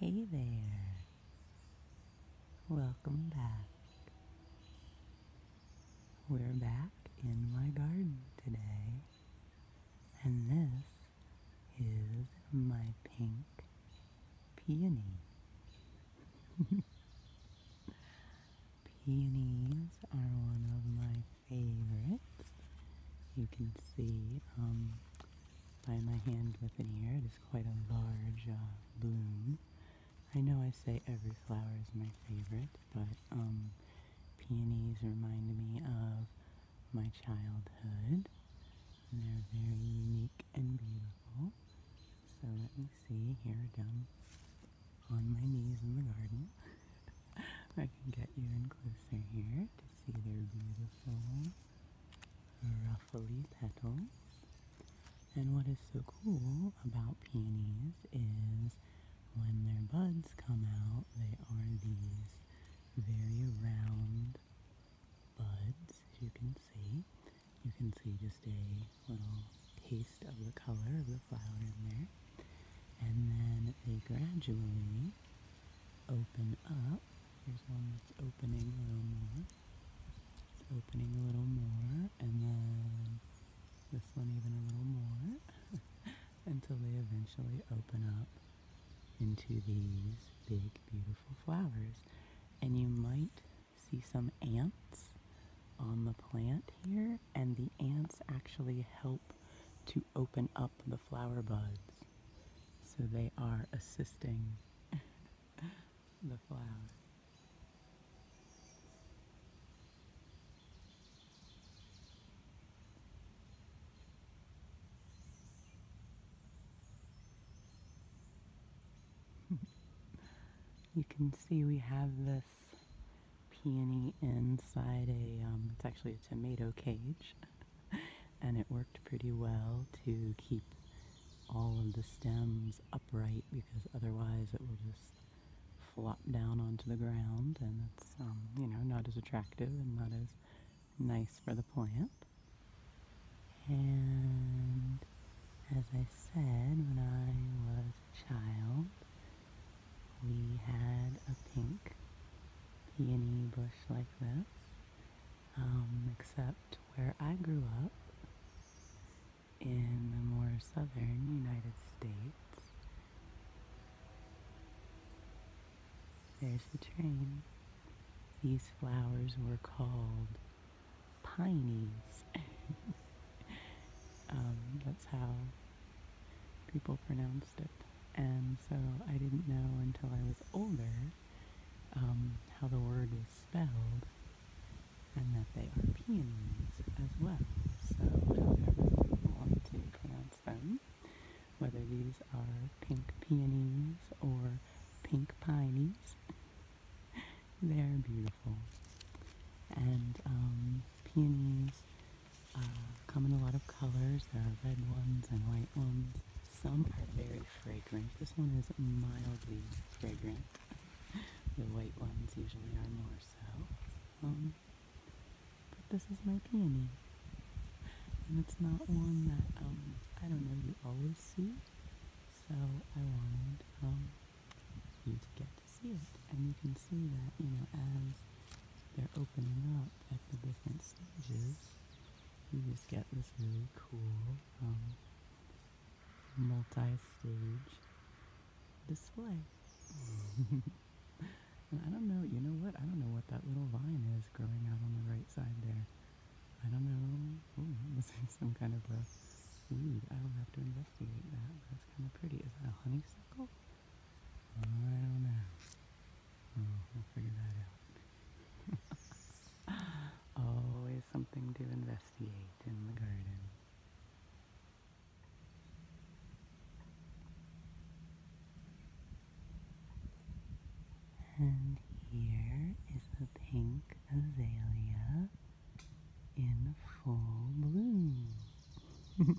Hey there. Welcome back. We're back in my garden today, and this is my pink peony. Peonies are one of my favorites. You can see um, by my hand within here, it is quite a large uh, bloom. I know I say every flower is my favorite, but um, peonies remind me of my childhood. they're very unique and beautiful. So let me see here again on my knees in the garden. I can get you in closer here to see their beautiful ruffly petals. And what is so cool about peonies is when their buds come out, they are these very round buds, as you can see. You can see just a little taste of the color of the flower in there. And then they gradually open up. Here's one that's opening a little more. opening a little more. And then this one even a little more. until they eventually open up into these big, beautiful flowers. And you might see some ants on the plant here and the ants actually help to open up the flower buds. So they are assisting the flower. you can see we have this peony inside a, um, it's actually a tomato cage, and it worked pretty well to keep all of the stems upright because otherwise it will just flop down onto the ground and it's, um, you know, not as attractive and not as nice for the plant. And as I said, when I was a child, we had a pink peony bush like this, um, except where I grew up in the more southern United States. There's the train. These flowers were called pinies. Um, that's how people pronounce and so I didn't know until I was older um, how the word is spelled and that they are peonies as well. So however you want to pronounce them, whether these are pink peonies or pink pinies, they're beautiful. And um, peonies uh, come in a lot of colors. There are red ones and white ones. Some are very fragrant. This one is mildly fragrant. The white ones usually are more so. Um, but this is my peony. And it's not one that, um, I don't know, you always see. So I wanted um, you to get see it. And you can see that, you know, as they're opening up at the different stages, you just get this really cool um, multi-stage display. and I don't know, you know what? I don't know what that little vine is growing out on the right side there. I don't know. Ooh, it some kind of a weed. I will have to investigate that. That's kind of pretty. Is that a honeysuckle? Always something to investigate in the garden. And here is the pink azalea in full bloom this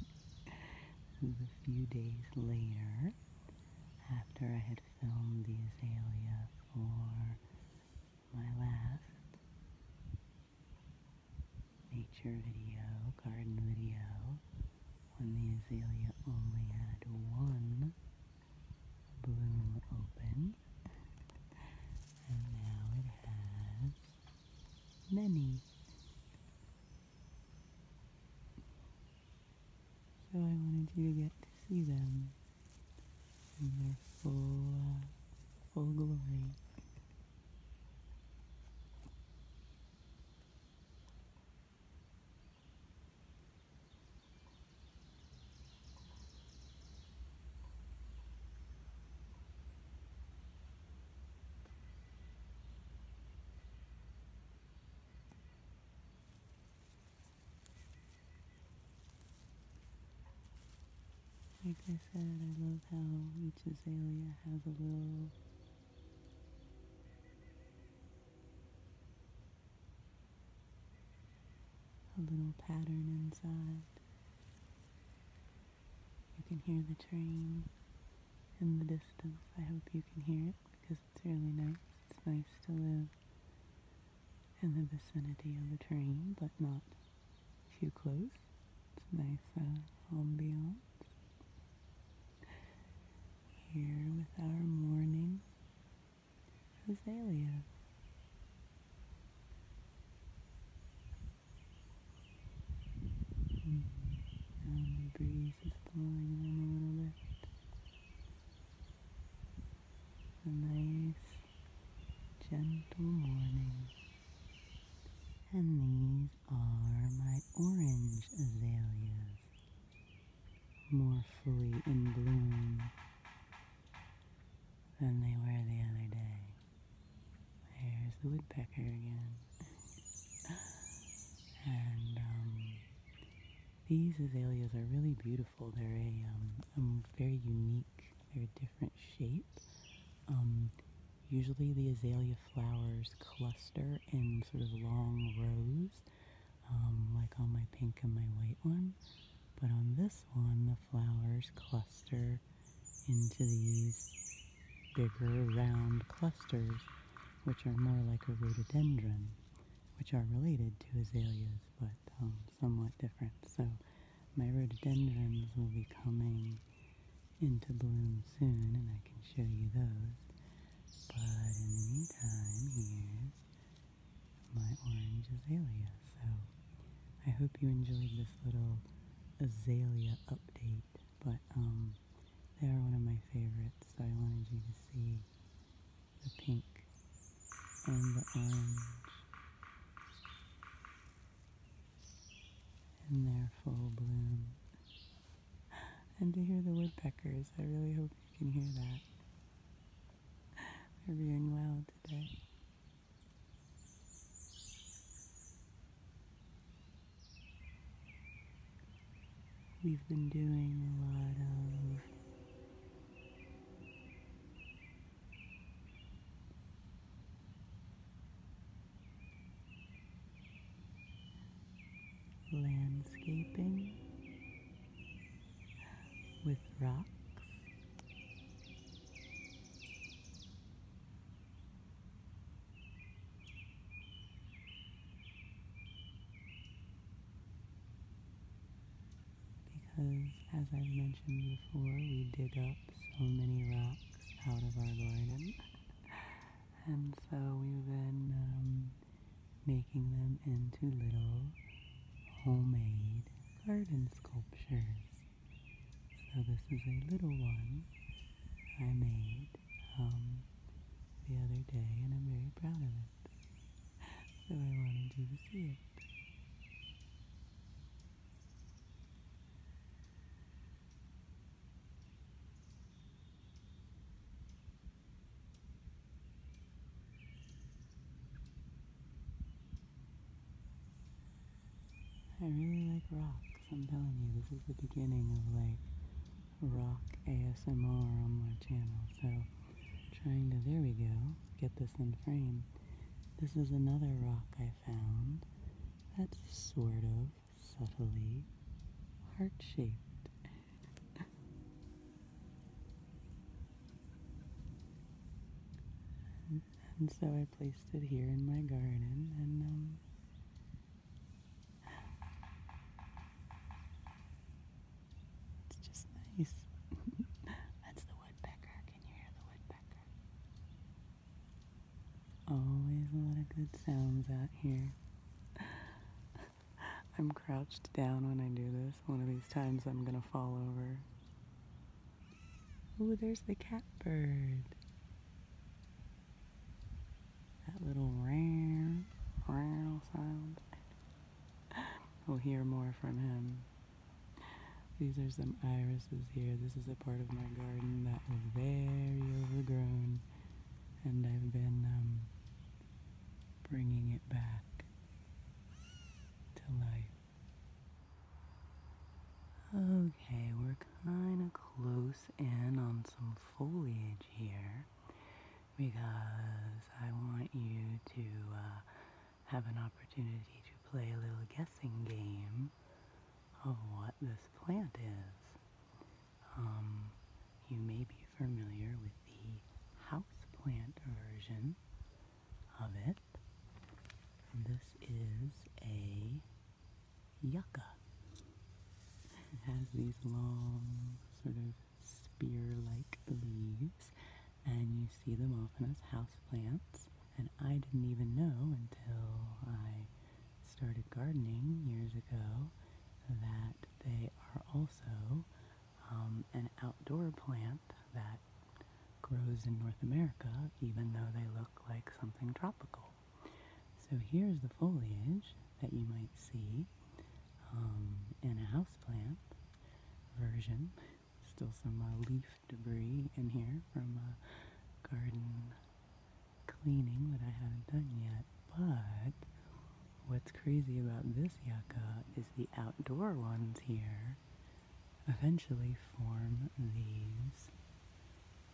a few days later after I had filmed the azalea for my last nature video, garden video, when the azalea only had one bloom open. And now it has many. So I wanted you to get to see them in their full, uh, full glory. Like I said, I love how each azalea has a little a little pattern inside. You can hear the train in the distance. I hope you can hear it because it's really nice. It's nice to live in the vicinity of a train, but not too close. It's a nice uh, ambiance. Here with our morning azalea. And the breeze is blowing in a little bit. A nice, gentle morning. And these are my orange azaleas, more fully in bloom than they were the other day. There's the woodpecker again. And um, these azaleas are really beautiful. They're a, um, very unique, they're a different shape. Um, usually the azalea flowers cluster in sort of long rows, like on my pink and my white one. But on this one, the flowers cluster into these bigger round clusters, which are more like a rhododendron, which are related to azaleas, but um, somewhat different. So my rhododendrons will be coming into bloom soon, and I can show you those. But in the meantime, here's my orange azalea. So I hope you enjoyed this little azalea update but um, they are one of my favorites, so I wanted you to see the pink and the orange. in their full bloom. And to hear the woodpeckers, I really hope you can hear that. They're doing well today. We've been doing a lot of landscaping with rocks because, as I've mentioned before, we dig up so many rocks out of our garden. and so we've been um, making them into little homemade garden sculptures. So this is a little one I made um, the other day, and I'm very proud of it. So I wanted you to see it. I really like rock. Cause I'm telling you, this is the beginning of like rock ASMR on my channel. So trying to, there we go, get this in frame. This is another rock I found that's sort of subtly heart-shaped. and so I placed it here in my garden and um, it's just nice. That's the woodpecker. Can you hear the woodpecker? Always a lot of good sounds out here. I'm crouched down when I do this. One of these times I'm going to fall over. Ooh, there's the catbird. That little round, round sound. we'll hear more from him. These are some irises here. This is a part of my garden that was very overgrown, and I've been um, bringing it back to life. Okay, we're kind of close in on some foliage here because I want you to uh, have an opportunity to play a little guessing game of what this plant is. Um, you may be familiar with the houseplant version of it. This is a yucca. has these long, sort of spear-like leaves, and you see them often as houseplants. And I didn't even know until I started gardening years ago that they are also um, an outdoor plant that grows in North America, even though they look like something tropical. So here's the foliage that you might see um, in a houseplant version. Still some uh, leaf debris in here from uh, garden cleaning that I haven't done yet. But what's crazy about this yucca is the outdoor ones here eventually form leaves.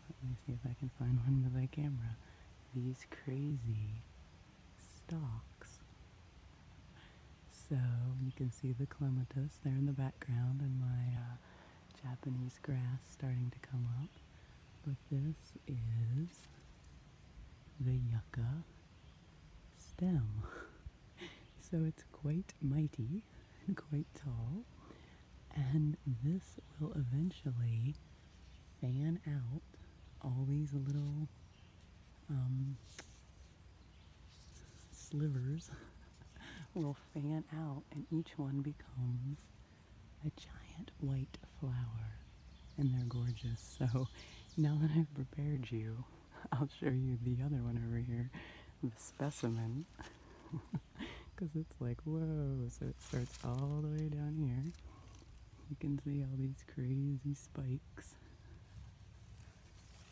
Let me see if I can find one with my camera. These crazy stalks. So you can see the clematis there in the background and my uh, Japanese grass starting to come up. But this is the yucca stem. so it's quite mighty and quite tall and this will eventually fan out all these little um, slivers will fan out and each one becomes a giant white flower and they're gorgeous so now that I've prepared you I'll show you the other one over here the specimen because it's like whoa. So it starts all the way down here. You can see all these crazy spikes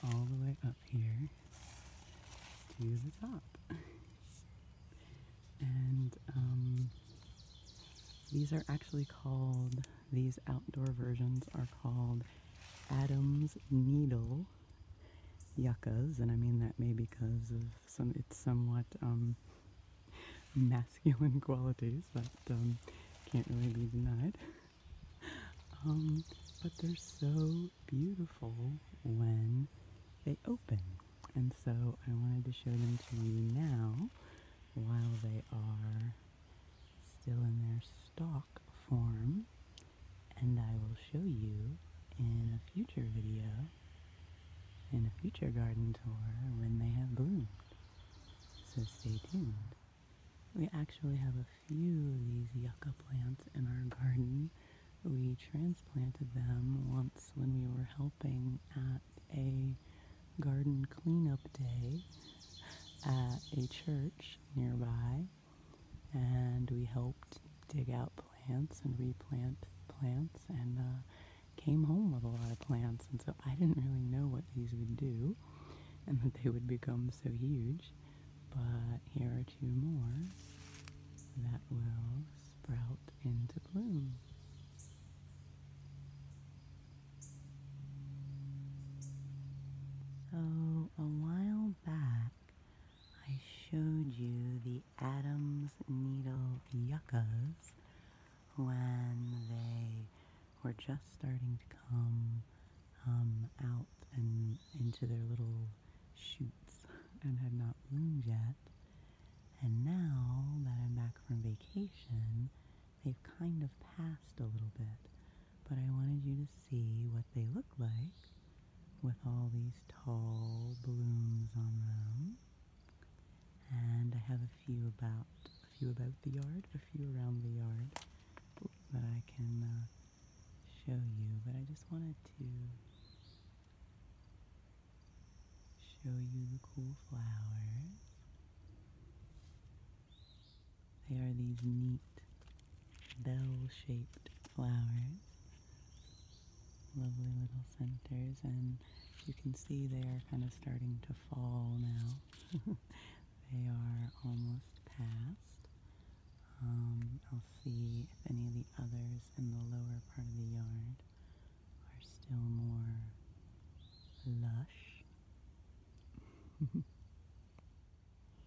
all the way up here to the top. And um, these are actually called, these outdoor versions are called Adam's Needle yuccas. And I mean that maybe because of some, it's somewhat um, masculine qualities that um, can't really be denied. Um, but they're so beautiful when they open. And so I wanted to show them to you now while they are still in their stalk form. And I will show you in a future video in a future garden tour when they have bloomed. So stay tuned. We actually have a few of these yucca plants in our garden. We transplanted them once when we were helping at a garden cleanup day at a church nearby. And we helped dig out plants and replant plants. And uh, came home with a lot of plants, and so I didn't really know what these would do and that they would become so huge. But here are two more that will sprout into bloom. So, a while back, I showed you the Adam's Needle Yuccas when they were just starting to come um, out and into their little shoots and had not bloomed yet. And now that I'm back from vacation, they've kind of passed a little bit. But I wanted you to see what they look like with all these tall blooms on them and I have a few about a few about the yard, a few around the yard that I can uh, show you. But I just wanted to show you the cool flowers. They are these neat bell-shaped flowers lovely little centers and you can see they are kind of starting to fall now. they are almost past. Um, I'll see if any of the others in the lower part of the yard are still more lush.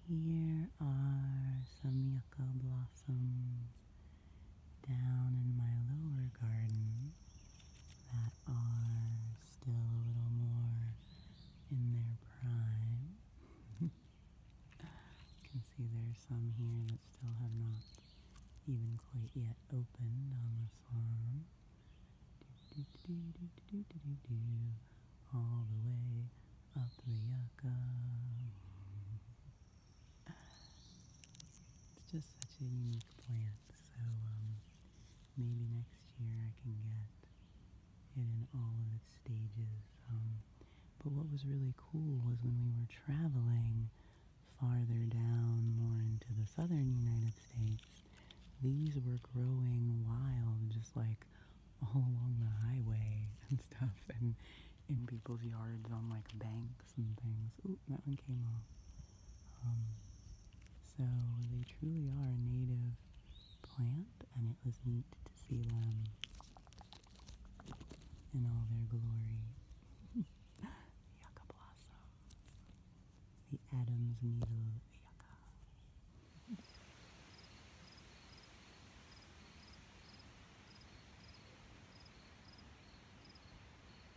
Here are some yucca blossoms down in my lower garden that are still a little more in their prime. you can see there's some here that still have not even quite yet opened on the farm. all the way up the yucca. It's just such a unique plant, so um, maybe next year I can get it in all of its stages. Um, but what was really cool was when we were traveling farther down, more into the southern United States, these were growing wild, just like all along the highway and stuff, and in people's yards on like banks some things. Oop, that one came off. Um, so they truly are a native plant, and it was neat to see them in all their glory. yucca blossom. The Adam's needle yucca.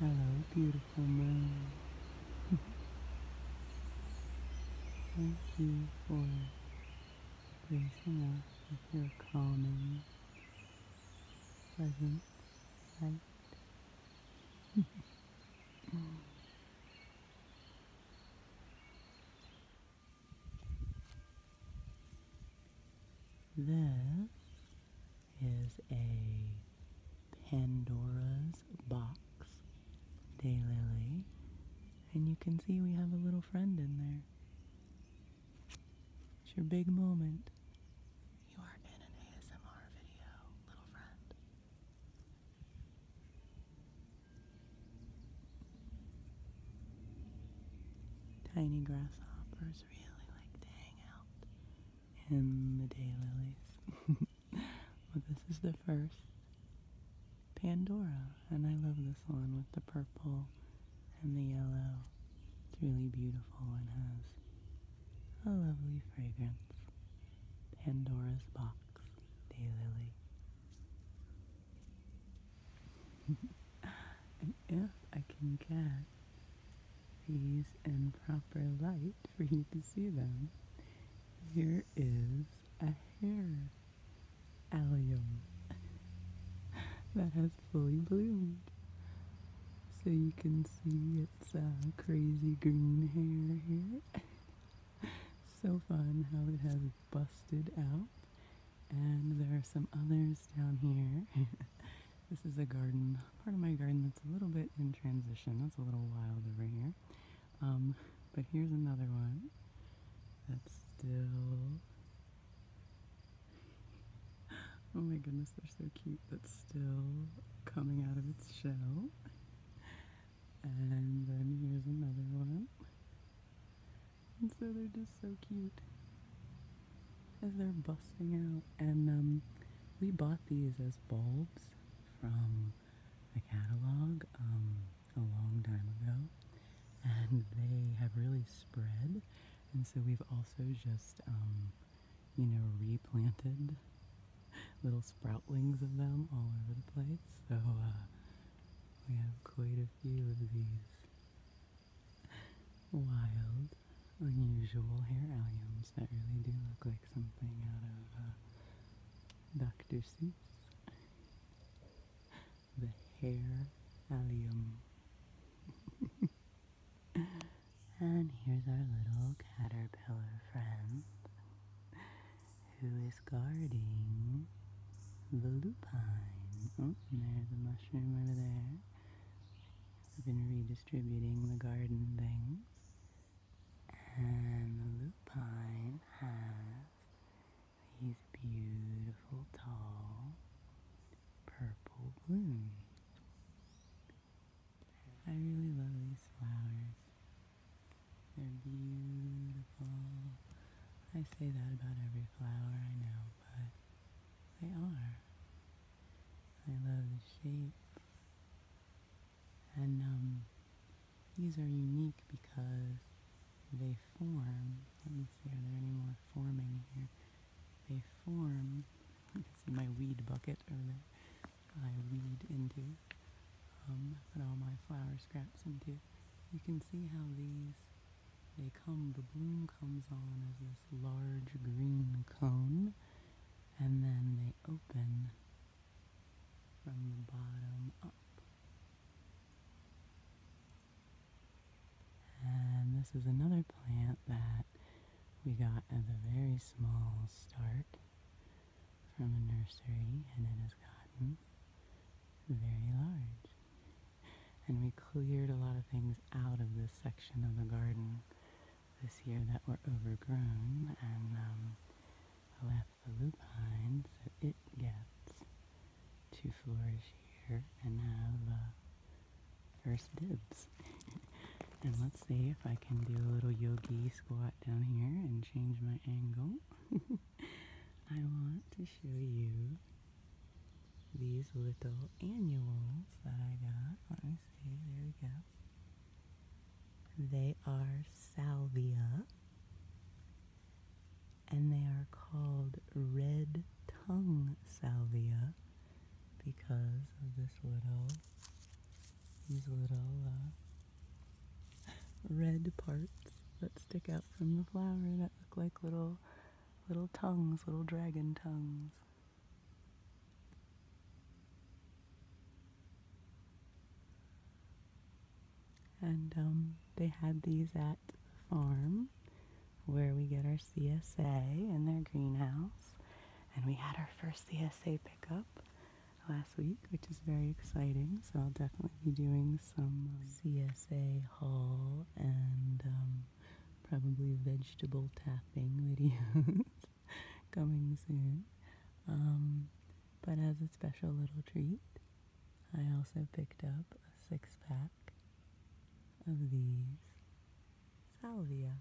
Hello, beautiful moon. Thank you for gracing us with your calming, pleasant light. This is a Pandora's box daylily, and you can see we have a little friend in there. It's your big moment. You are in an ASMR video, little friend. Tiny grasshoppers really like to hang out in the daylilies. well, this is the first Pandora, and I love this one with the purple and the yellow. It's really beautiful and has a lovely fragrance. Pandora's Box Daylily. and if I can get these in proper light for you to see them, here is a hair allium that has fully bloomed. So you can see it its a uh, crazy green hair here. so fun how it has busted out. And there are some others down here. this is a garden, part of my garden that's a little bit in transition. That's a little wild over here. Um, but here's another one that's still Oh my goodness, they're so cute. That's still coming out of its shell. And then here's another one. And so they're just so cute as they're busting out. And um, we bought these as bulbs from a catalog um, a long time ago. And they have really spread. And so we've also just um, you know, replanted little sproutlings of them all over the place. So uh, we have quite a few of these wild, unusual hair alliums that really do look like something out of uh, Dr. Seuss. The hair allium. And here's our little caterpillar friend who is guarding the lupine. Oh, there's a mushroom over there. I've been redistributing the garden things. And the lupine has these beautiful, tall, purple blooms. I really love these flowers. They're beautiful. I say that about every flower I know, but they are. I love the shape. And um, these are unique because they form. Let me see, are there any more forming here? They form. You can see my weed bucket over there. I read into, um, put all my flower scraps into. You can see how these, they come, the bloom comes on as this large green cone, and then they open from the bottom up. And this is another plant that we got as a very small start from a nursery and it has gotten very large. And we cleared a lot of things out of this section of the garden this year that were overgrown and um, left the lupine so it gets to flourish here and have uh, first dibs and let's see if I can do a little yogi squat down here and change my angle. I want to show you these little annuals that I got. Let me see, there we go. They are salvia and they are called red tongue salvia because of this little, these little uh, red parts that stick out from the flower that look like little, little tongues, little dragon tongues. And um, they had these at the farm where we get our CSA in their greenhouse. And we had our first CSA pickup last week, which is very exciting. So I'll definitely be doing some um, CSA haul and um, probably vegetable tapping videos coming soon. Um, but as a special little treat, I also picked up a six pack of these salvia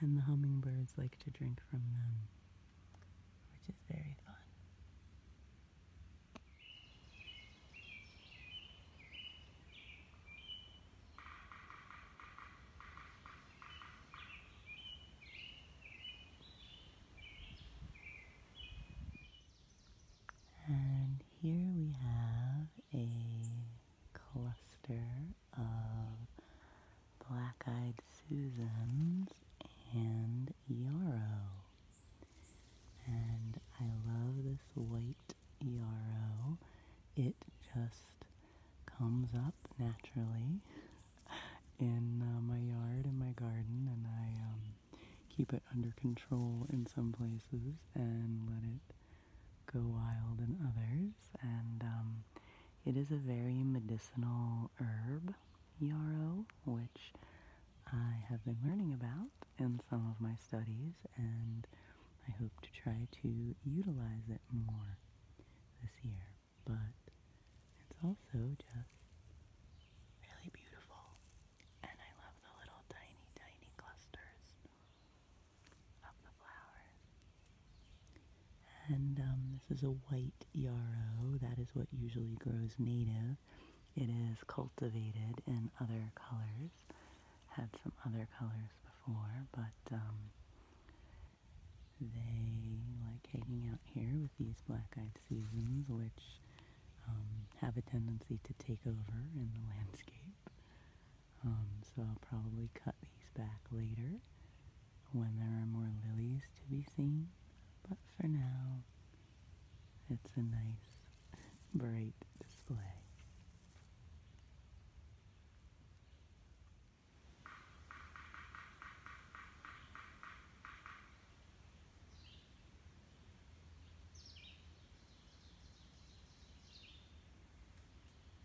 and the hummingbirds like to drink from them, which is very fun. And here we have a cluster of black-eyed Susans and yarrow. And I love this white yarrow. It just comes up naturally in uh, my yard in my garden and I um, keep it under control in some places and let it go wild and others. And um, it is a very medicinal herb, yarrow, which I have been learning about in some of my studies, and I hope to try to utilize it more this year. But it's also just really beautiful, and I love the little tiny, tiny clusters and um, this is a white yarrow. That is what usually grows native. It is cultivated in other colors. Had some other colors before, but um, they like hanging out here with these black-eyed seasons, which um, have a tendency to take over in the landscape. Um, so I'll probably cut these back later when there are more lilies to be seen. But for now, it's a nice, bright display.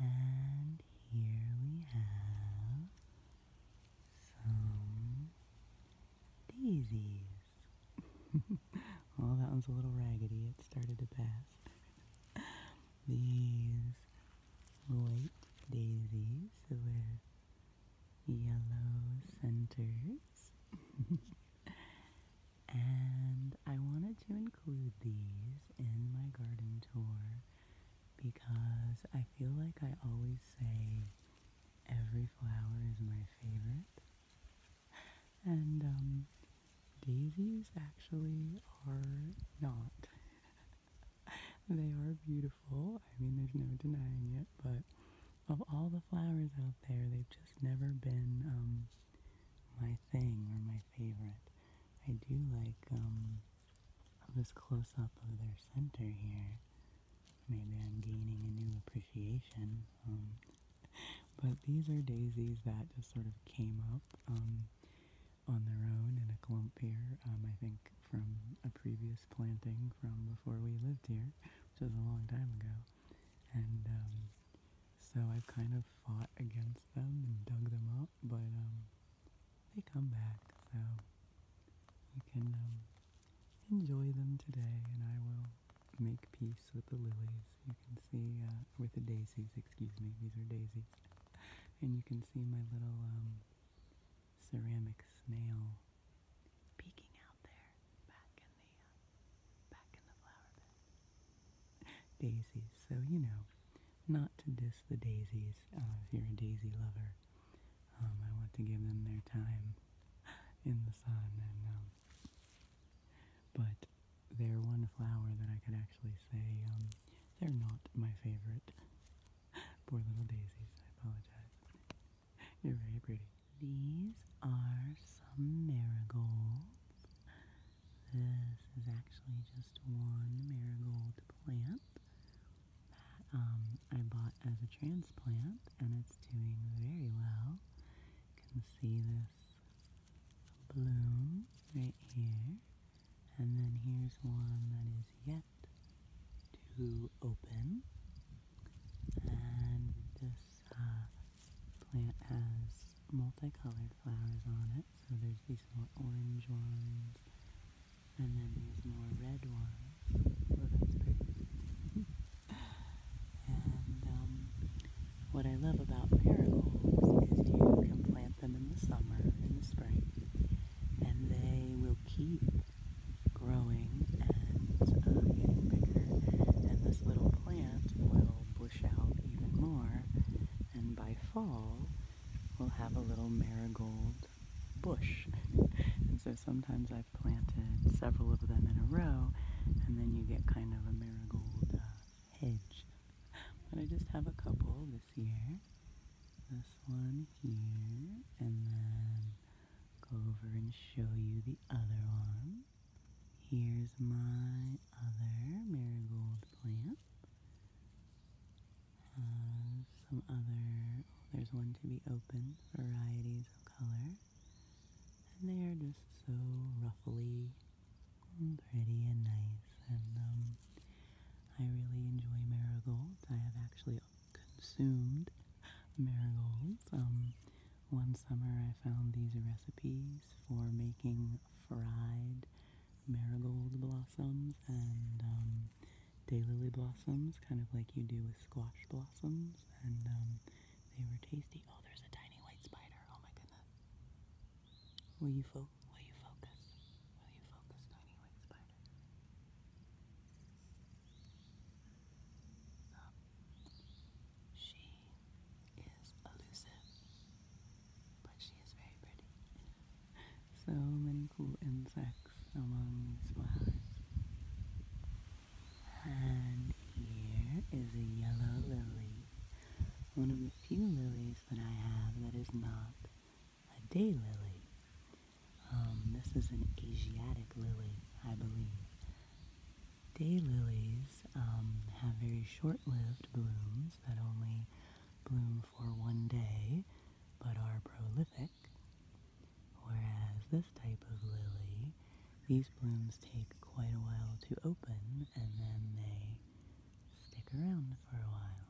And here we have some daisies. well, that one's a little raggedy. It started to pass these white daisies with yellow centers. and I wanted to include these in my garden tour because I feel like I always say every flower is my favorite. And um, Daisies actually are not. they are beautiful. I mean, there's no denying it, but of all the flowers out there, they've just never been um, my thing or my favorite. I do like um, this close up of their center here. Maybe I'm gaining a new appreciation. Um, but these are daisies that just sort of came up on their own in a clump here, um, I think from a previous planting from before we lived here, which was a long time ago. And um, so I've kind of fought against them and dug them up, but um, they come back, so you can um, enjoy them today, and I will make peace with the lilies. You can see, uh, with the daisies, excuse me, these are daisies. And you can see my little um, ceramic snail peeking out there back in the uh, back in the flower bed. Daisies, so you know, not to diss the daisies. Uh, if you're a daisy lover, um, I want to give them their time in the sun, um, but they're one flower that I could actually say um, they're not my favorite. Poor little daisies, I apologize. You're very pretty. These are some marigolds. This is actually just one marigold plant that um, I bought as a transplant and it's doing very well. You can see this bloom right here. And then here's one that is yet to open. And this uh, plant has multicolored flowers on it. So there's these more orange ones, and then these more red ones. Oh, and um, what I love about marigolds is you can plant them in the summer, in the spring, and they will keep growing and uh, getting bigger. And this little plant will bush out even more, and by fall, we'll have a little marigold bush. and so sometimes I've planted several of them in a row, and then you get kind of a marigold. Uh, hedge. But I just have a couple this year. This one here, and then go over and show you the other one. Here's my other marigold plant. Uh, some other, oh, there's one to be open varieties of color. And they are just so ruffly pretty and nice. And um, I really enjoy marigolds. I have actually consumed marigolds. Um, one summer I found these recipes for making fried marigold blossoms and um, daylily blossoms, kind of like you do with squash blossoms, and um, they were tasty. Oh, there's a tiny white spider. Oh my goodness. Will you focus? Will you focus? Will you focus, tiny white spider? she is elusive, but she is very pretty. so many cool insects among these flowers. And here is a yellow lily, one of the few lilies that I have that is not a day lily. Um, this is an Asiatic lily, I believe. Day lilies um, have very short-lived blooms that only bloom for one day, but are prolific. Whereas this type of lily, these blooms take quite a while to open, and then they stick around for a while.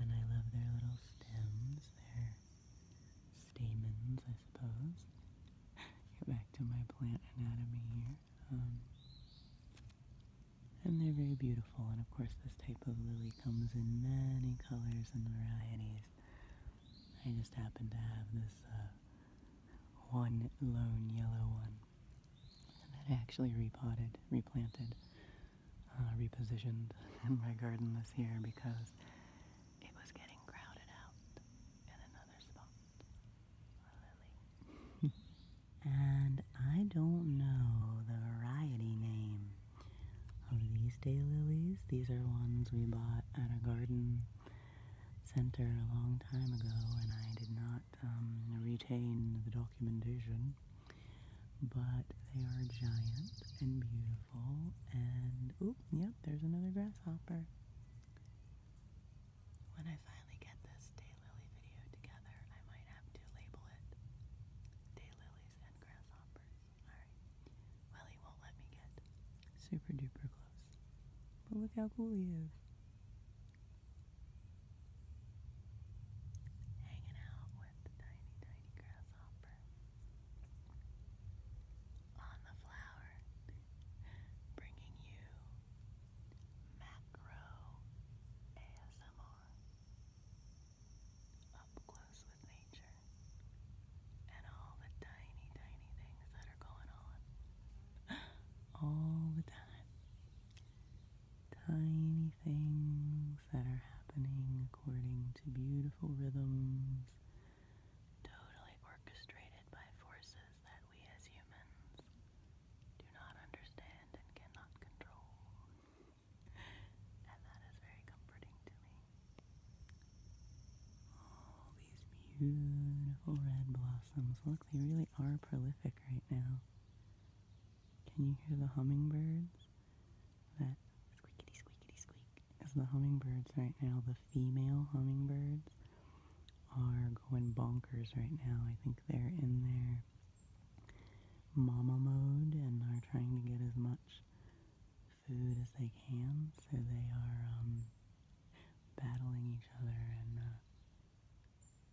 And I love their little stems, their stamens, I suppose. Get back to my plant anatomy here. Um, and they're very beautiful, and of course this type of lily comes in many colors and varieties. I just happen to have this uh, one lone yellow one that I actually repotted, replanted, uh, repositioned in my garden this year because it was getting crowded out in another spot. and I don't know the variety name of these lilies. These are ones we bought at a garden center a long time ago and I did not um, retain the documentation. But they are giant and beautiful. And, oh, yep, there's another grasshopper. When I finally get this daylily video together, I might have to label it Daylilies and Grasshoppers. Alright. Well, he won't let me get super duper close. But look how cool he is hanging out with tiny, tiny grasshopper on the flower, bringing you macro ASMR up close with nature and all the tiny, tiny things that are going on all the time tiny things that are happening according to beautiful rhythms, totally orchestrated by forces that we as humans do not understand and cannot control. And that is very comforting to me. All these beautiful red blossoms. Look, they really are prolific right now. Can you hear the hummingbirds? That squeakity squeakity squeak. As the hummingbirds right now, the female hummingbirds are going bonkers right now. I think they're in their mama mode and are trying to get as much food as they can. So they are um, battling each other and uh,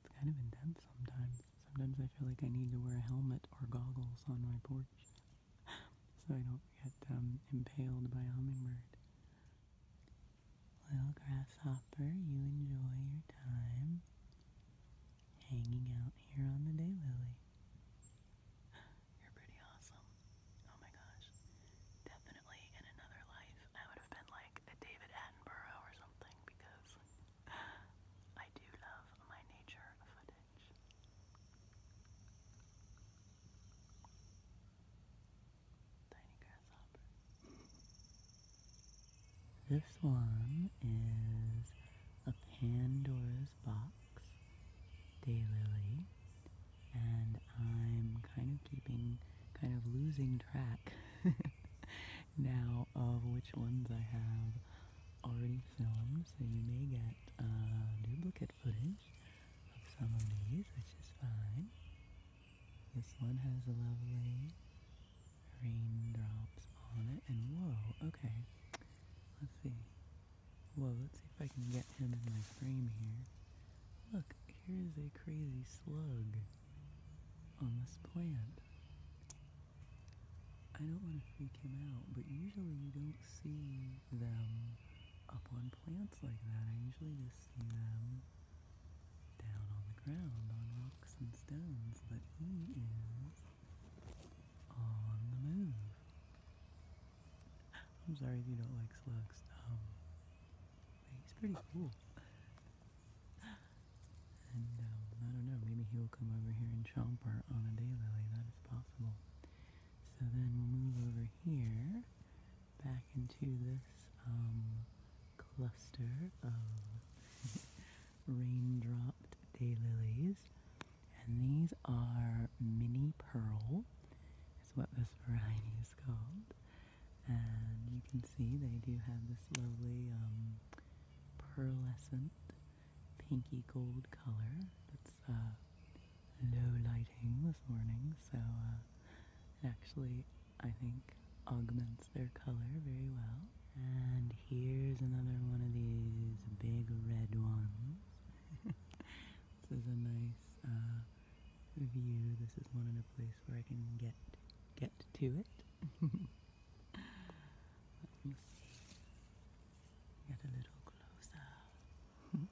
kind of intense sometimes. Sometimes I feel like I need to wear a helmet or goggles on my porch so I don't get um, impaled by a hummingbird. Little grasshopper, you enjoy your time hanging out here on the daylily. You're pretty awesome. Oh my gosh. Definitely in another life I would have been like a David Attenborough or something because I do love my nature footage. This one is a Pandora's box daylily, and I'm kind of keeping, kind of losing track. now of which ones I have already filmed, so you may get uh, duplicate footage of some of these, which is fine. This one has lovely raindrops on it, and whoa, okay, let's see. Whoa, let's see if I can get him in my frame here. Look, here's a crazy slug on this plant. I don't want to freak him out, but usually you don't see them up on plants like that. I usually just see them down on the ground on rocks and stones, but he is on the move. I'm sorry if you don't like slugs, um, he's pretty cool. And um, I don't know, maybe he'll come over here and chomp her on a daylily. That is possible. So then we'll move over here back into this um, cluster of rain-dropped daylilies. And these are mini pearl, is what this variety is called. And you can see they do have this lovely um, pearlescent pinky gold color. That's low uh, lighting this morning, so uh, it actually, I think, augments their color very well. And here's another one of these big red ones. this is a nice uh, view. This is one in a place where I can get get to it. Let me see. Get a little closer. you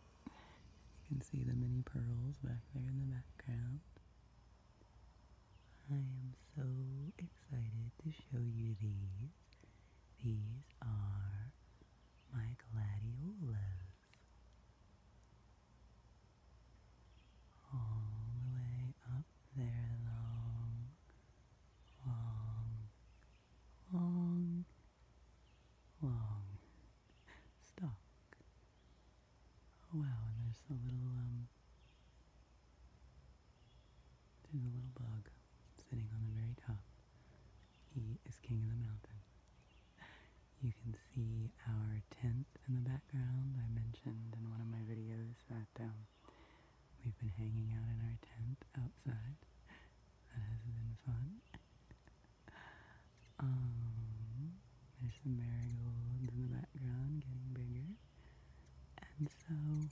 can see the mini pearls back there in the background. I am so excited to show you these. These are my gladiolus. All the way up their long, long, long, long stalk. Oh, wow, and there's the little, um, there's a little bug sitting on the very top. He is king of the mountain. You can see our tent in the background. I mentioned in one of my videos that um, We've been hanging out in our tent outside. That has been fun. Um, there's some marigolds in the background getting bigger. And so,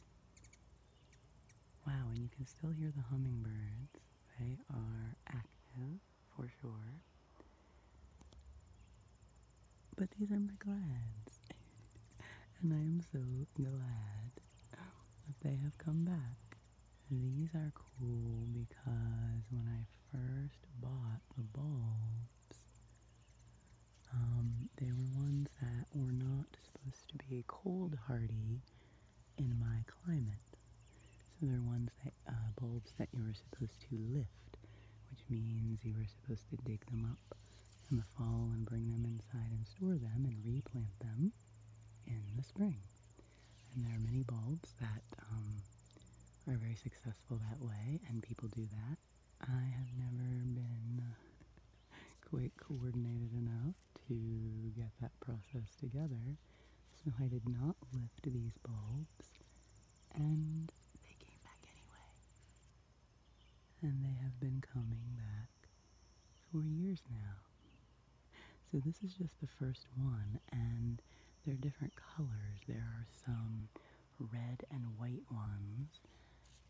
wow, and you can still hear the hummingbirds. They are active for sure. But these are my glads. and I am so glad that they have come back. These are cool because when I first bought the bulbs, um, they were ones that were not supposed to be cold hardy in my climate. So they're ones that, uh, bulbs that you were supposed to lift, which means you were supposed to dig them up up in the fall and bring them inside and store them and replant them in the spring. And there are many bulbs that um, are very successful that way, and people do that. I have never been uh, quite coordinated enough to get that process together, so I did not lift these bulbs, and they came back anyway and they have been coming back for years now. So this is just the first one, and they're different colors. There are some red and white ones,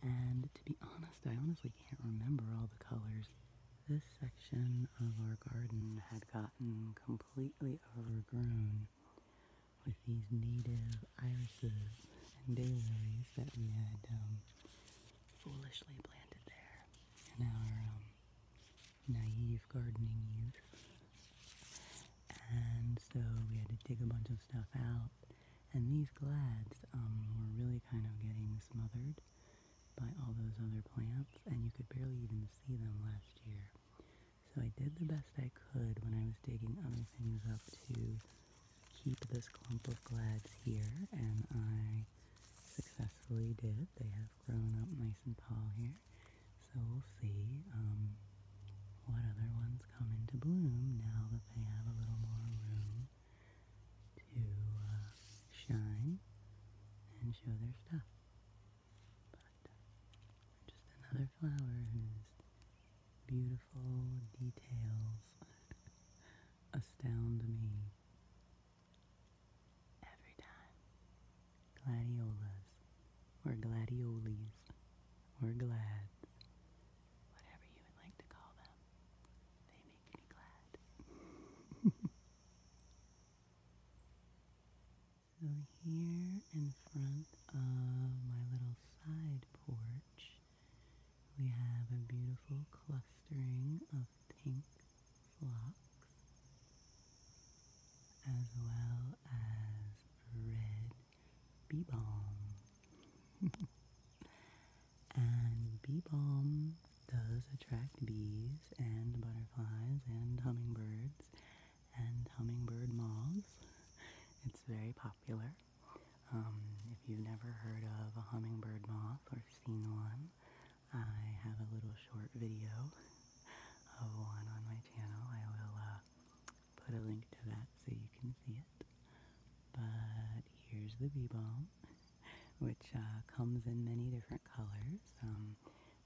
and to be honest, I honestly can't remember all the colors. This section of our garden had gotten completely overgrown with these native irises and daylilies that we had um, foolishly planted there in our um, naive gardening youth. And so we had to dig a bunch of stuff out. And these glads um, were really kind of getting smothered by all those other plants, and you could barely even see them last year. So I did the best I could when I was digging other things up to keep this clump of glads here, and I successfully did. They have grown up nice and tall here, so we'll see um, what other ones come into bloom now that they have a little more room to uh, shine and show their stuff. But just another flower who's beautiful details astound me every time. Gladiolas or gladioles or glad, whatever you would like to call them, they make me glad. so here in front of my little side porch we have a beautiful clustering of pink phlox, as well as red bee balm. and bee balm does attract bees and butterflies and hummingbirds and hummingbird moths. It's very popular. Um, if you've never heard of a hummingbird moth or seen one, I have a little short video of one on my channel. I will uh, put a link to that so you can see it. But here's the bee balm, which uh, comes in many different colors. Um,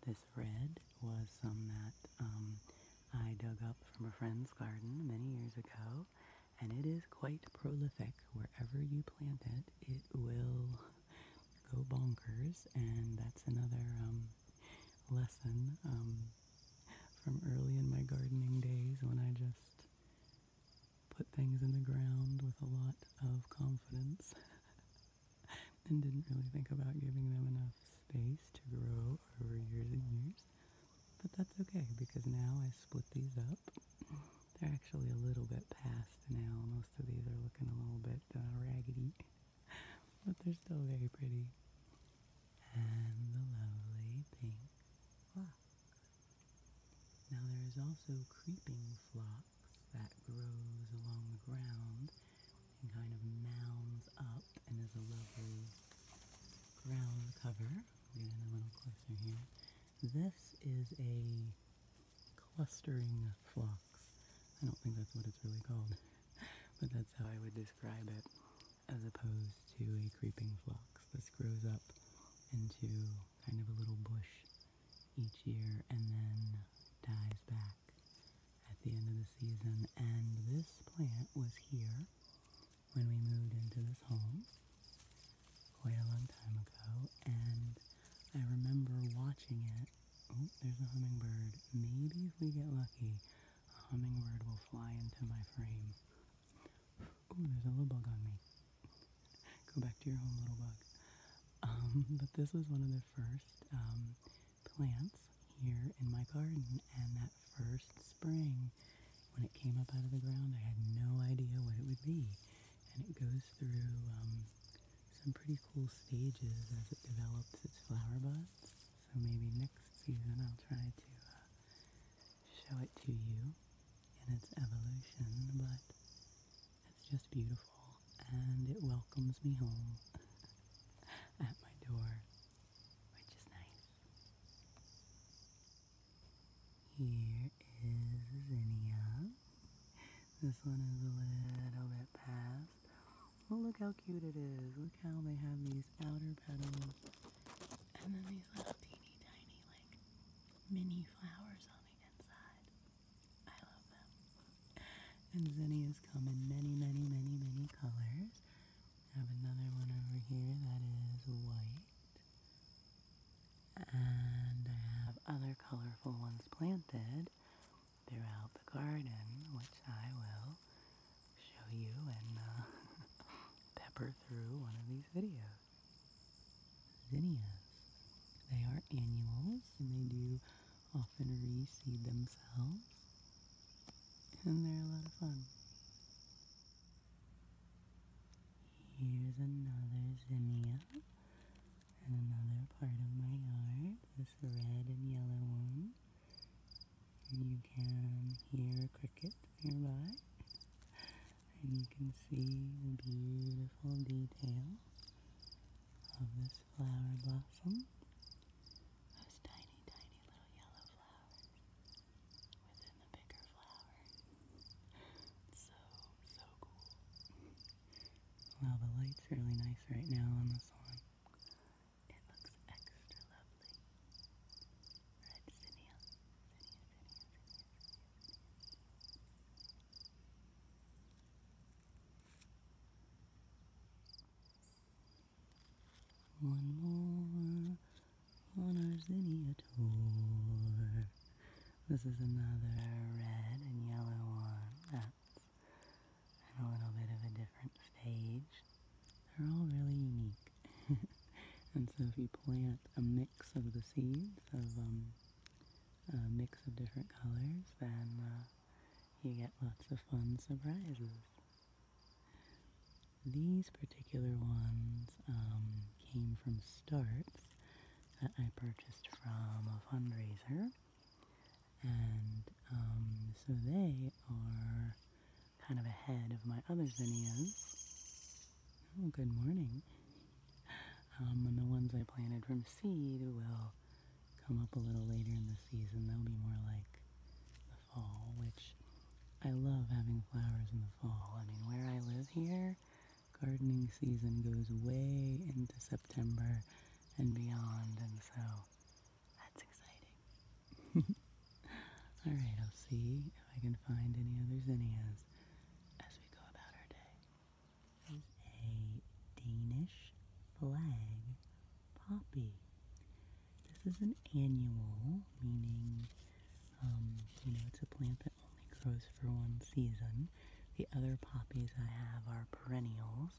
this red was some that um, I dug up from a friend's garden many years ago grow and it is quite prolific. Wherever you plant it, it will go bonkers, and that's another um, lesson um, from early in my gardening days when I just put things in the ground with a lot of confidence and didn't really think about giving them enough space to grow over years and years. But that's okay because now I split these up. They're actually a little bit past now. Most of these are looking a little bit uh, raggedy, but they're still very pretty. And the lovely pink Now there is also creeping phlox that grows along the ground and kind of mounds up and is a lovely ground cover. This is a clustering phlox. I don't think that's what it's really called, but that's how I would describe it, as opposed to a creeping phlox. This grows up into kind of a little bush each year and then dies back at the end of the season. And this plant was here when we moved into this home quite a long time ago, and I remember watching it. Oh, there's a hummingbird. Maybe if we get lucky, a hummingbird will fly into my frame. Oh, there's a little bug on me. Go back to your home, little bug. Um, but this was one of the first um, plants here in my garden, and that first spring when it came up out of the ground. I had no idea what it would be. And it goes through um, some pretty cool stages as it develops its flower buds. So maybe next season I'll try to uh, show it to you in its evolution. But it's just beautiful and it welcomes me home at my door, which is nice. Here is zinnia. This one is a little bit past. Well, look how cute it is. Look how they have these outer petals and then these little teeny tiny, like, mini flowers on the inside. I love them. And zinnias come in many, many, many, many colors. I have another one over here that is white. And I have other colorful ones planted throughout the garden, which I will show you and uh, pepper through one of these videos. Zinnias. They are annuals and they do often reseed themselves. And they're a lot of fun. Here's another zinnia and another part of my yard, this red and yellow one. And you can hear a cricket nearby. And you can see the beautiful detail of this flower blossom. Those tiny, tiny little yellow flowers within the light's really nice right now on this one. It looks extra lovely. Red zinnia. One more. This is another red and yellow one. That's in a little bit of a different stage. They're all really unique. and so if you plant a mix of the seeds of um, a mix of different colors, then uh, you get lots of fun surprises. These particular ones um, came from Starts that I purchased from a fundraiser. And um, so they are kind of ahead of my other zinnias. Oh, good morning. Um, and the ones I planted from seed will come up a little later in the season. They'll be more like the fall, which I love having flowers in the fall. I mean, where I live here, gardening season goes way into September and beyond, and so that's exciting. Alright, I'll see if I can find any other zinnias as we go about our day. There's a Danish flag poppy. This is an annual, meaning um, you know, it's a plant that only grows for one season. The other poppies I have are perennials,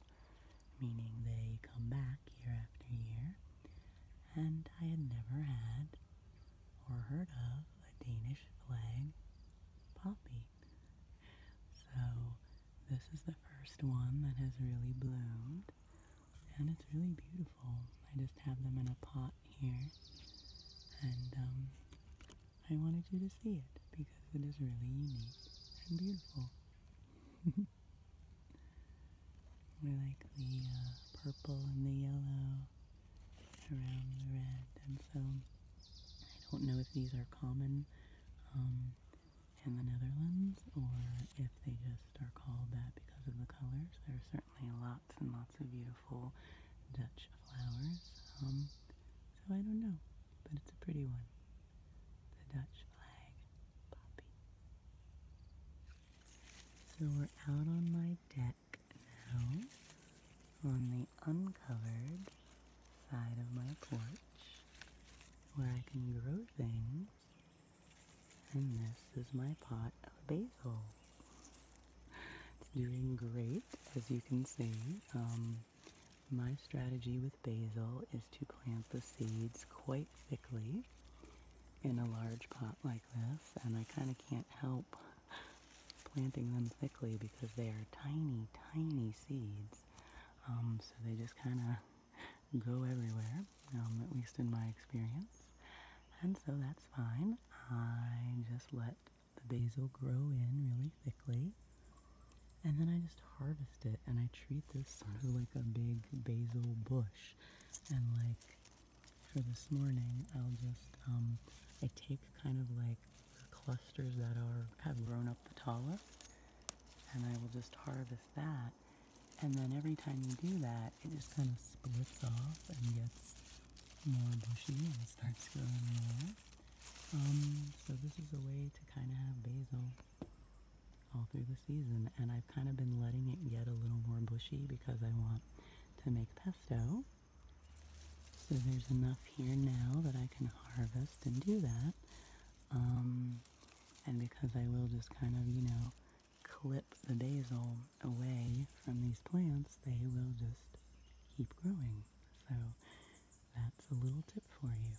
meaning they come back year after year. And I had never had or heard of a Danish flag poppy. So this is the first one that has really bloomed and it's really beautiful. I just have them in a pot here, and um, I wanted you to see it because it is really unique and beautiful. I like the uh, purple and the yellow around the red, and so I don't know if these are common um, in the Netherlands or if they just are called that because of the colors. There are certain lots and lots of beautiful Dutch flowers. Um, so I don't know, but it's a pretty one. The Dutch flag poppy. So we're out on my deck now, on the uncovered side of my porch, where I can grow things. And this is my pot of basil. It's doing great, as you can see. Um, my strategy with basil is to plant the seeds quite thickly in a large pot like this, and I kind of can't help planting them thickly because they are tiny, tiny seeds. Um, so they just kind of go everywhere, um, at least in my experience. And so that's fine. I just let the basil grow in really thickly. And then I just harvest it and I treat this sort of like a big basil bush. And like for this morning, I'll just, um, I take kind of like the clusters that are, have grown up the tallest and I will just harvest that. And then every time you do that, it just kind of splits off and gets more bushy and starts growing more. Um, so this is a way to kind of have basil all through the season. And I've kind of been letting it get a little more bushy because I want to make pesto. So there's enough here now that I can harvest and do that. Um, and because I will just kind of, you know, clip the basil away from these plants, they will just keep growing. So that's a little tip for you.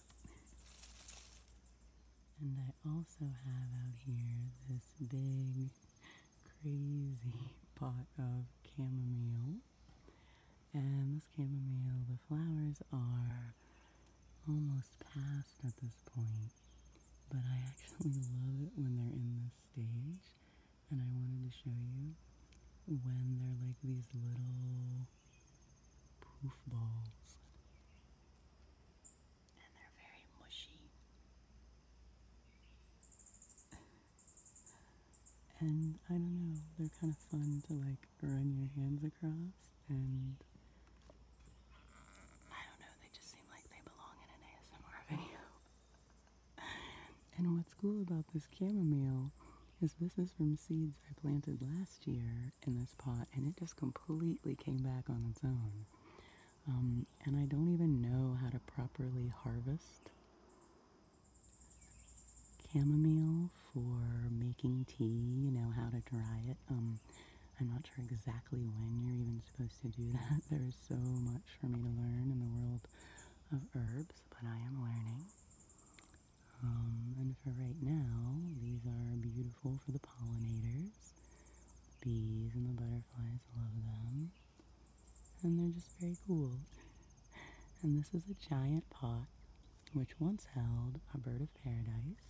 And I also have out here this big, crazy pot of chamomile. And this chamomile, the flowers are almost past at this point, but I actually love it when they're in this stage and I wanted to show you when they're like these little poof balls. And they're very mushy. And I don't know, they're kind of fun to like run your hands across and I don't know, they just seem like they belong in an ASMR video and what's cool about this chamomile is this is from seeds I planted last year in this pot, and it just completely came back on its own. Um, and I don't even know how to properly harvest chamomile for making tea, you know, how to dry it. Um, I'm not sure exactly when you're even supposed to do that. There is so much for me to learn in the world of herbs, but I am learning. Um, and for right now, these are beautiful for the pollinators. The bees and the butterflies love them. And they're just very cool. And this is a giant pot which once held a bird of paradise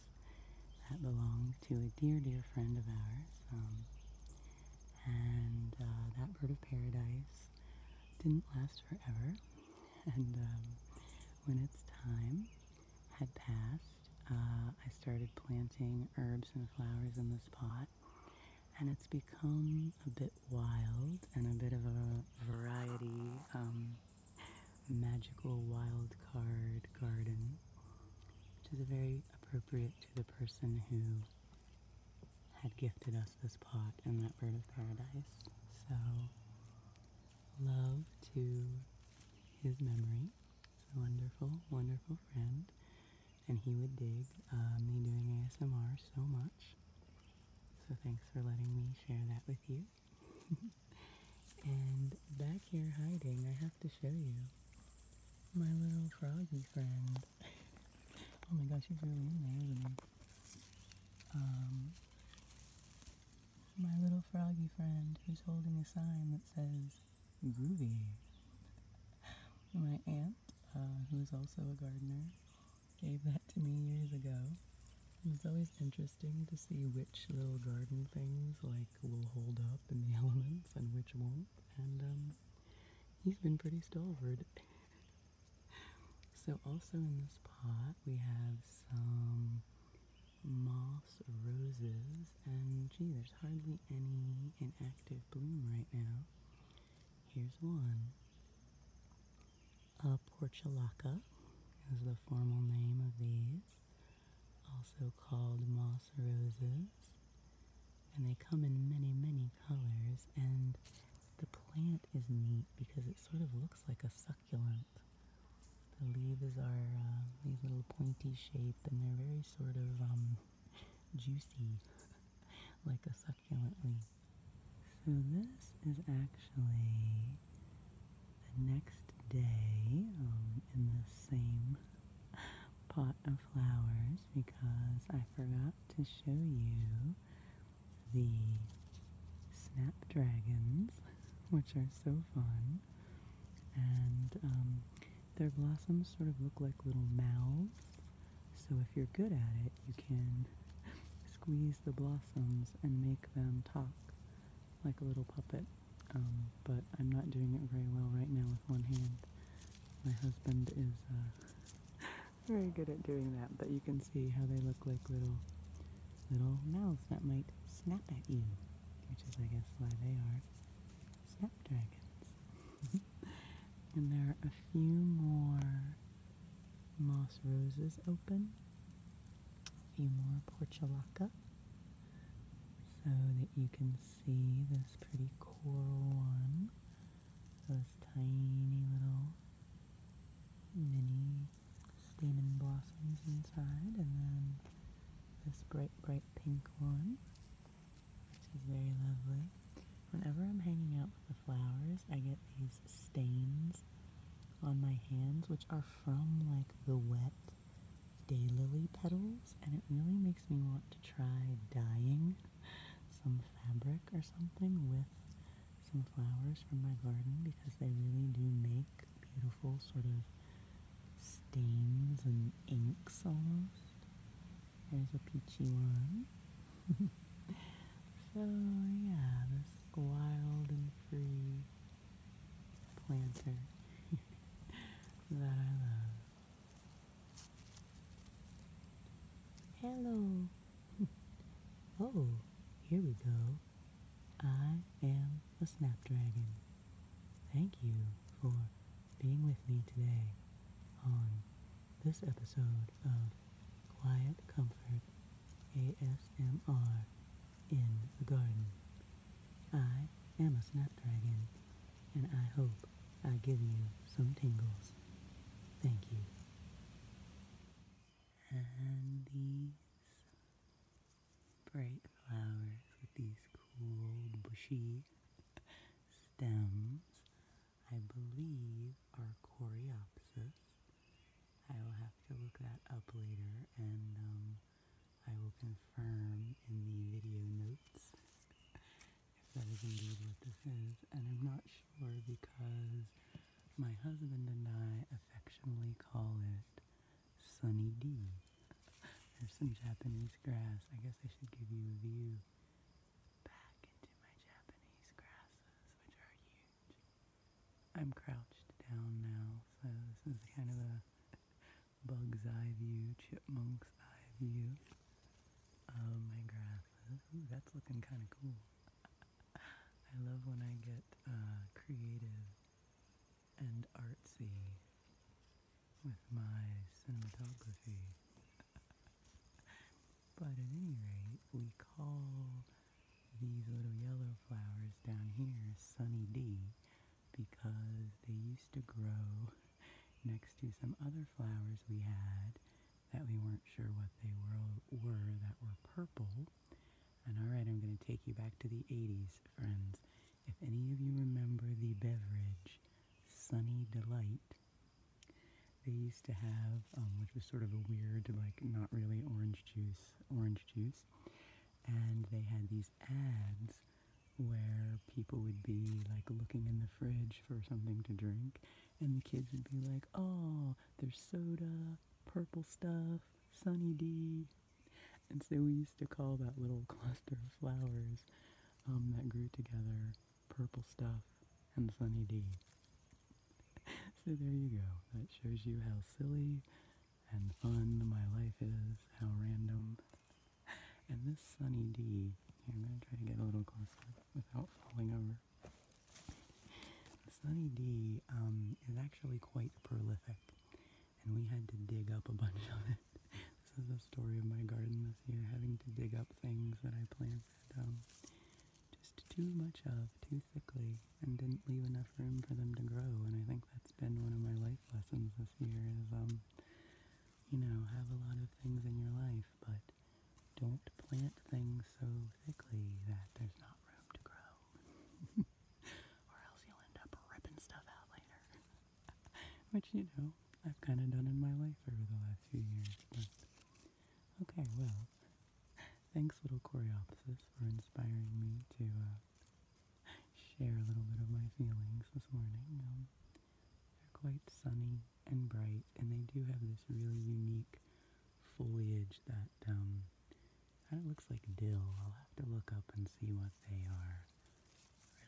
that belonged to a dear, dear friend of ours. Um, and uh, that bird of paradise didn't last forever. And um, when its time had passed, uh, I started planting herbs and flowers in this pot. And it's become a bit wild and a bit of a variety, um, magical wild card garden, which is very appropriate to the person who had gifted us this pot and that bird of paradise. So, love to his memory. He's wonderful, wonderful friend. And he would dig uh, me doing ASMR so much. So thanks for letting me share that with you. and back here hiding, I have to show you my little froggy friend oh my gosh, he's really in there, isn't he? Um, my little froggy friend who's holding a sign that says groovy. My aunt, uh, who is also a gardener, gave that to me years ago. And it's always interesting to see which little garden things like will hold up in the elements and which won't. And um, He's been pretty stalwart. so also in this pot we have some moss roses and gee there's hardly any in active bloom right now. Here's one. A portulaca is the formal name of these, also called moss roses and they come in many, many colors. And the plant is neat because it sort of looks like a succulent. The leaves are uh, these little pointy shape, and they're very sort of um, juicy, like a succulent leaf. So this is actually the next day um, in the same pot of flowers because I I forgot to show you the snapdragons, which are so fun. And um, their blossoms sort of look like little mouths. So if you're good at it, you can squeeze the blossoms and make them talk like a little puppet. Um, but I'm not doing it very well right now with one hand. My husband is uh, very good at doing that, but you can see how they look like little little mouths that might snap at you, which is, I guess, why they are snapdragons. and there are a few more moss roses open, a few more portulaca, so that you can see this pretty coral one those tiny little mini stamen blossoms inside, and then this bright, bright pink one, which is very lovely. Whenever I'm hanging out with the flowers, I get these stains on my hands, which are from like the wet daylily petals, and it really makes me want to try dyeing some fabric or something with some flowers from my garden because they really do make beautiful sort of stains and inks almost. There's a peachy one. so yeah, this wild and free planter that I love. Hello. oh, here we go. I am a Snapdragon. Thank you for being with me today on this episode of Quiet Comfort ASMR in the Garden. I am a Snapdragon and I hope I give you some tingles. Thank you. And these bright flowers with these cool bushy stems, I believe are coreopsis. I will have to look that up later and um, I will confirm in the video notes if that is indeed what this is, and I'm not sure because my husband and I affectionately call it Sunny D. There's some Japanese grass. I guess I should give you a view back into my Japanese grasses, which are huge. I'm crouched down now, so this is kind of a bug's eye view, chipmunk's eye view. Oh my grass. that's looking kind of cool. I love when I get uh, creative and artsy with my cinematography. but at any rate, we call these little yellow flowers down here Sunny D because they used to grow next to some other flowers we had that we weren't sure what they were, were that were purple. And all right, I'm going to take you back to the 80s, friends. If any of you remember the beverage, Sunny Delight, they used to have, um, which was sort of a weird, like not really orange juice, orange juice. And they had these ads where people would be like looking in the fridge for something to drink, and the kids would be like, "Oh, there's soda, purple stuff, Sunny D," and so we used to call that little cluster of flowers um, that grew together purple stuff and Sunny D. so there you go. That shows you how silly and fun my life is, how random and this Sunny di am going to try to get a little closer without falling over. The Sunny D um, is actually quite prolific, and we had to dig up a bunch of it. This is the story of my garden this year, having to dig up things that I planted um, just too much of, too thickly, and didn't leave enough room for them to grow. And I think that's been one of my life lessons this year is, um, you know, have a lot of things in your life but don't plant things so thickly that there's not room to grow. or else you'll end up ripping stuff out later. Which, you know, I've kind of done in my life over the last few years. But okay, well, thanks, little Coreopsis, for inspiring me to uh, share a little bit of my feelings this morning. Um, they're quite sunny and bright, and they do have this really unique foliage that um, kind of looks like dill. I'll have to look up and see what they are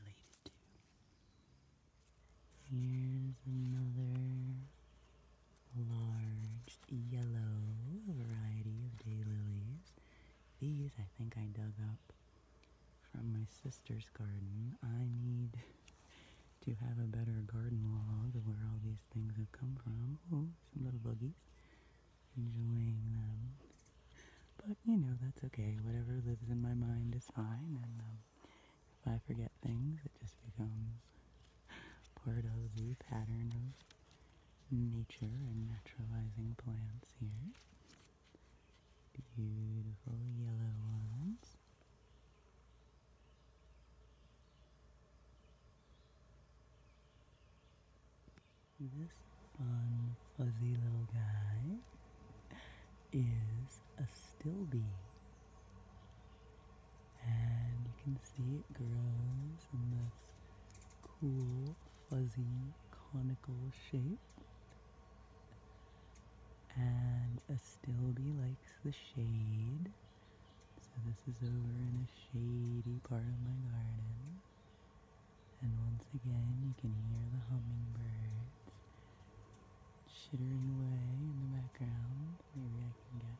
related to. Here's another large yellow variety of daylilies. These I think I dug up from my sister's garden. I need to have a better garden log of where all these things have come from. Oh, some little buggies Enjoying them. But, you know, that's okay. Whatever lives in my mind is fine. And um, if I forget things, it just becomes part of the pattern of nature and naturalizing plants here. Beautiful yellow ones. This fun, fuzzy little guy is a still bee. And you can see it grows in this cool, fuzzy, conical shape. And a Astilbe likes the shade. So this is over in a shady part of my garden. And once again, you can hear the hummingbirds chittering away in the background. Maybe I can get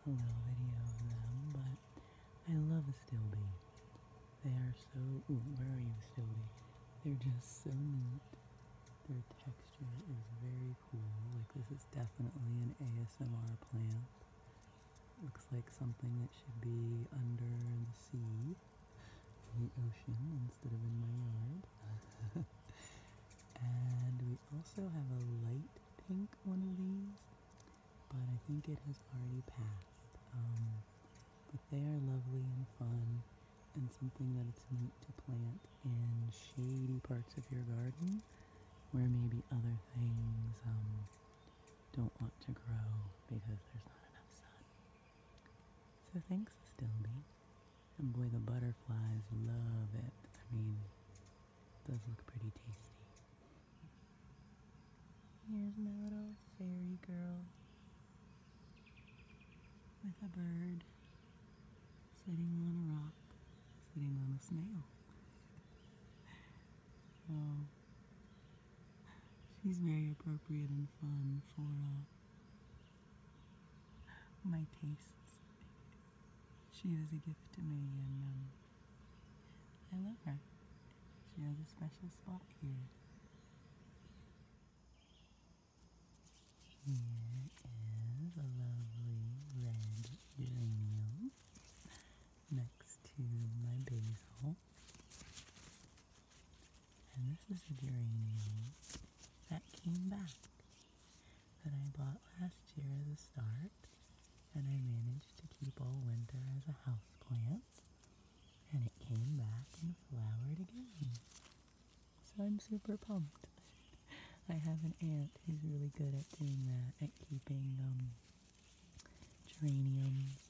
a little video of them, but I love a Astilbe. They are so, where are you Astilbe? They're just so neat their texture is very cool. Like this is definitely an ASMR plant. Looks like something that should be under the sea, in the ocean, instead of in my yard. and we also have a light pink one of these, but I think it has already passed. Um, but they are lovely and fun and something that it's neat to plant in shady parts of your garden where maybe other things um, don't want to grow because there's not enough sun. So thanks, Stilby. And boy, the butterflies love it. I mean, it does look pretty tasty. Here's my little fairy girl with a bird sitting on a rock, sitting on a snail. so she's very appropriate and fun for uh, my tastes. She is a gift to me, and um, I love her. She has a special spot here. Here is a lovely red geranium next to my basil. And this is a geranium that came back that I bought last year as a start and I managed to keep all winter as a house plant, and it came back and flowered again. So I'm super pumped. I have an aunt who's really good at doing that, at keeping um, geraniums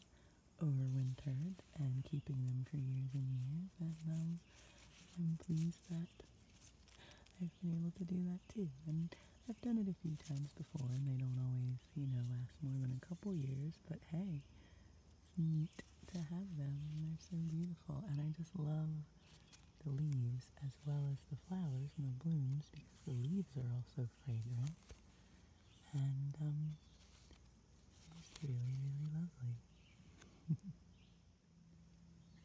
overwintered and keeping them for years and years. And um, I'm pleased that I've been able to do that too. And I've done it a few times before, and they don't always, you know, last more than a couple years. But hey, neat to have them. They're so beautiful, and I just love the leaves as well as the flowers and the blooms because the leaves are also fragrant. And um, it's really, really lovely.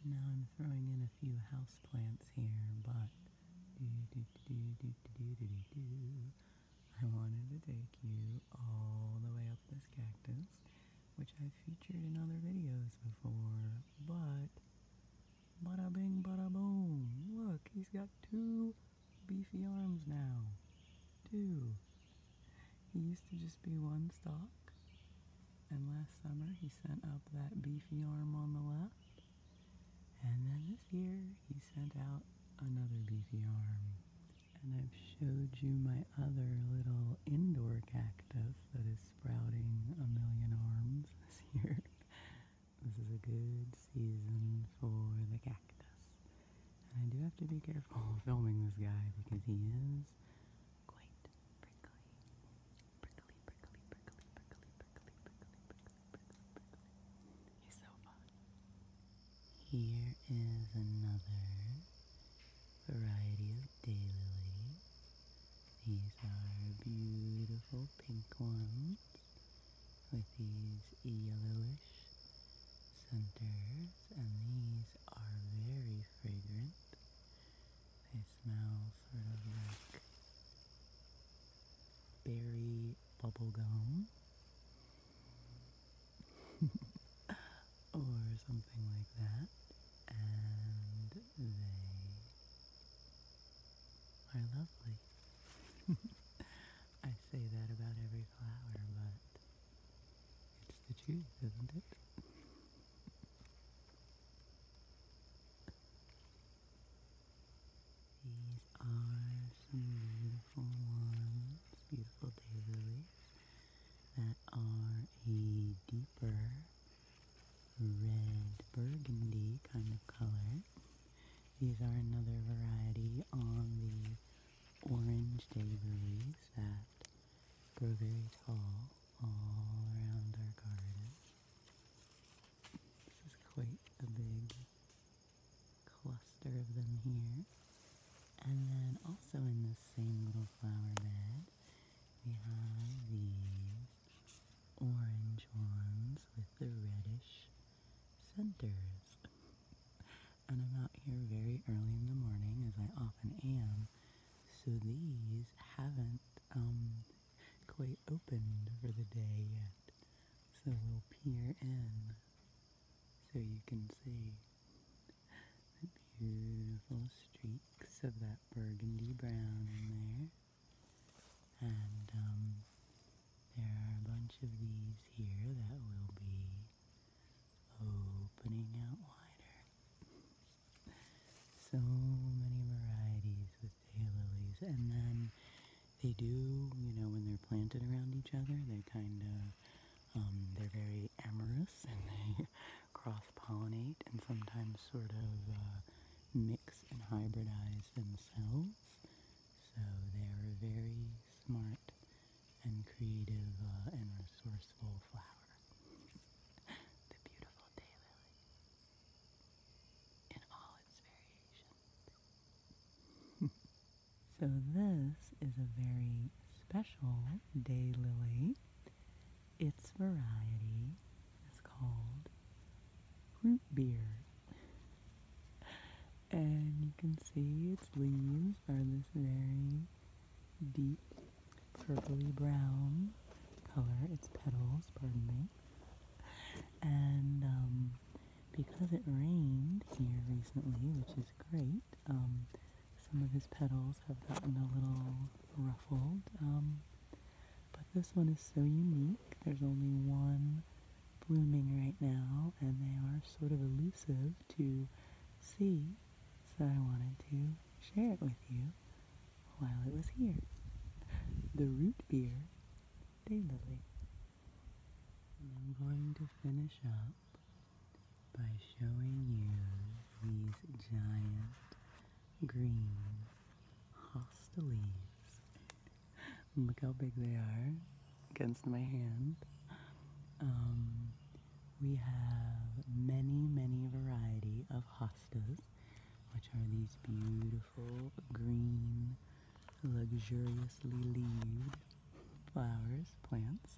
now I'm throwing in a few house here, but I wanted to take you all the way up this cactus which I've featured in other videos before, but bada bing bada boom, look, he's got two beefy arms now, two. He used to just be one stalk, and last summer he sent up that beefy arm on the left, and then this year he sent out another beefy arm. And I've showed you my other little indoor cactus that is sprouting a million arms this year. This is a good season for the cactus. I do have to be careful filming this guy because he is quite prickly. Prickly, prickly, prickly, prickly, prickly, prickly, prickly, prickly, prickly. He's so fun. Here is another variety of daylilies. These are beautiful pink ones with these yellowish centers, and these are very fragrant. They smell sort of like berry bubblegum. or something like that, and they are lovely. I say that about every flower, but it's the truth, isn't it? These are some beautiful ones, beautiful daylilies that are a deeper red burgundy kind of color. These are another variety on the orange day lilies that grow very tall all around our garden. This is quite a big cluster of them here. And then also in the same little flower bed we have these orange ones with the reddish centers. And I'm out here very early in the morning, as I often am, so these haven't um, quite opened for the day yet. So we'll peer in so you can see. The beautiful streaks of that burgundy brown in there. And um, there are a bunch of these here that will be opening out wider. So many varieties with daylilies. And then they do, you know, when they're planted around each other, they kind of, um, they're very amorous and they cross-pollinate and sometimes sort of uh, mix and hybridize themselves. So they're a very smart and creative uh, and resourceful flower. the beautiful daylily in all its variations. so this is a very special daylily its variety is called root beer. And you can see its leaves are this very deep purpley brown color. Its petals, pardon me. And um, because it rained here recently, which is great, um, some of his petals have gotten a little ruffled, um, but this one is so unique. There's only one blooming right now, and they are sort of elusive to see, so I wanted to share it with you while it was here. The root beer daylily. I'm going to finish up by showing you these giant green hosta leaves. Look how big they are against my hand. Um, we have many, many variety of hostas, which are these beautiful green, luxuriously leaved flowers, plants.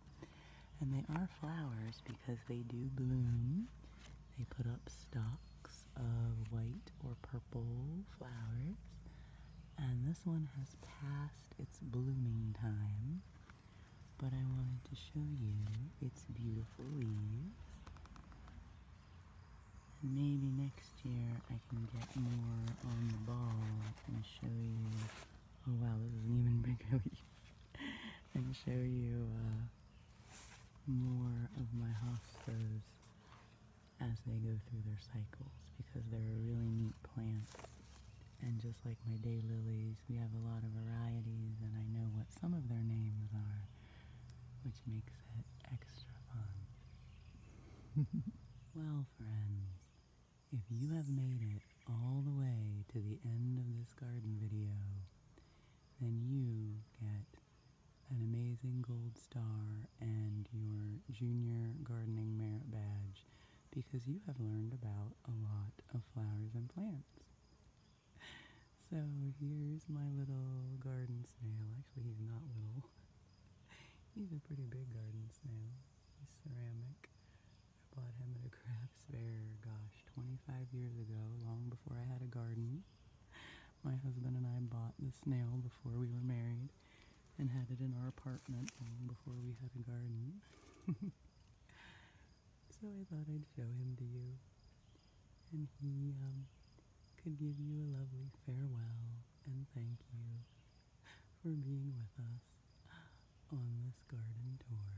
And they are flowers because they do bloom. They put up stalks of white or purple flowers. And this one has passed its blooming time. But I wanted to show you its beautiful leaves. And maybe next year I can get more on the ball and show you. Oh wow, this is an even bigger leaf and show you uh, more of my hostas as they go through their cycles because they're really neat plants. And just like my daylilies, we have a lot of varieties and I know what some of their names are, which makes it extra fun. well, friends, if you have made it all the way to the end of this garden video, then you get an amazing gold star and your junior gardening merit badge because you have learned about a lot of flowers and plants. So here's my little garden snail. Actually, he's not little. he's a pretty big garden snail. He's ceramic. I bought him a craft fair, gosh, 25 years ago, long before I had a garden. My husband and I bought the snail before we were married and had it in our apartment long before we had a garden. so I thought I'd show him to you. And he um, could give you a lovely farewell and thank you for being with us on this garden tour.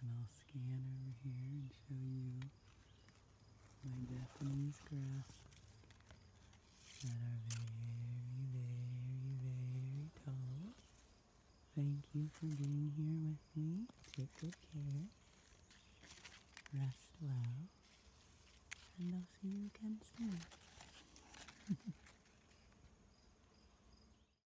And I'll scan over here and show you my Japanese grass that are very, very, very tall. Thank you for being here with me. Take good care. Rest well. And I'll see you again soon.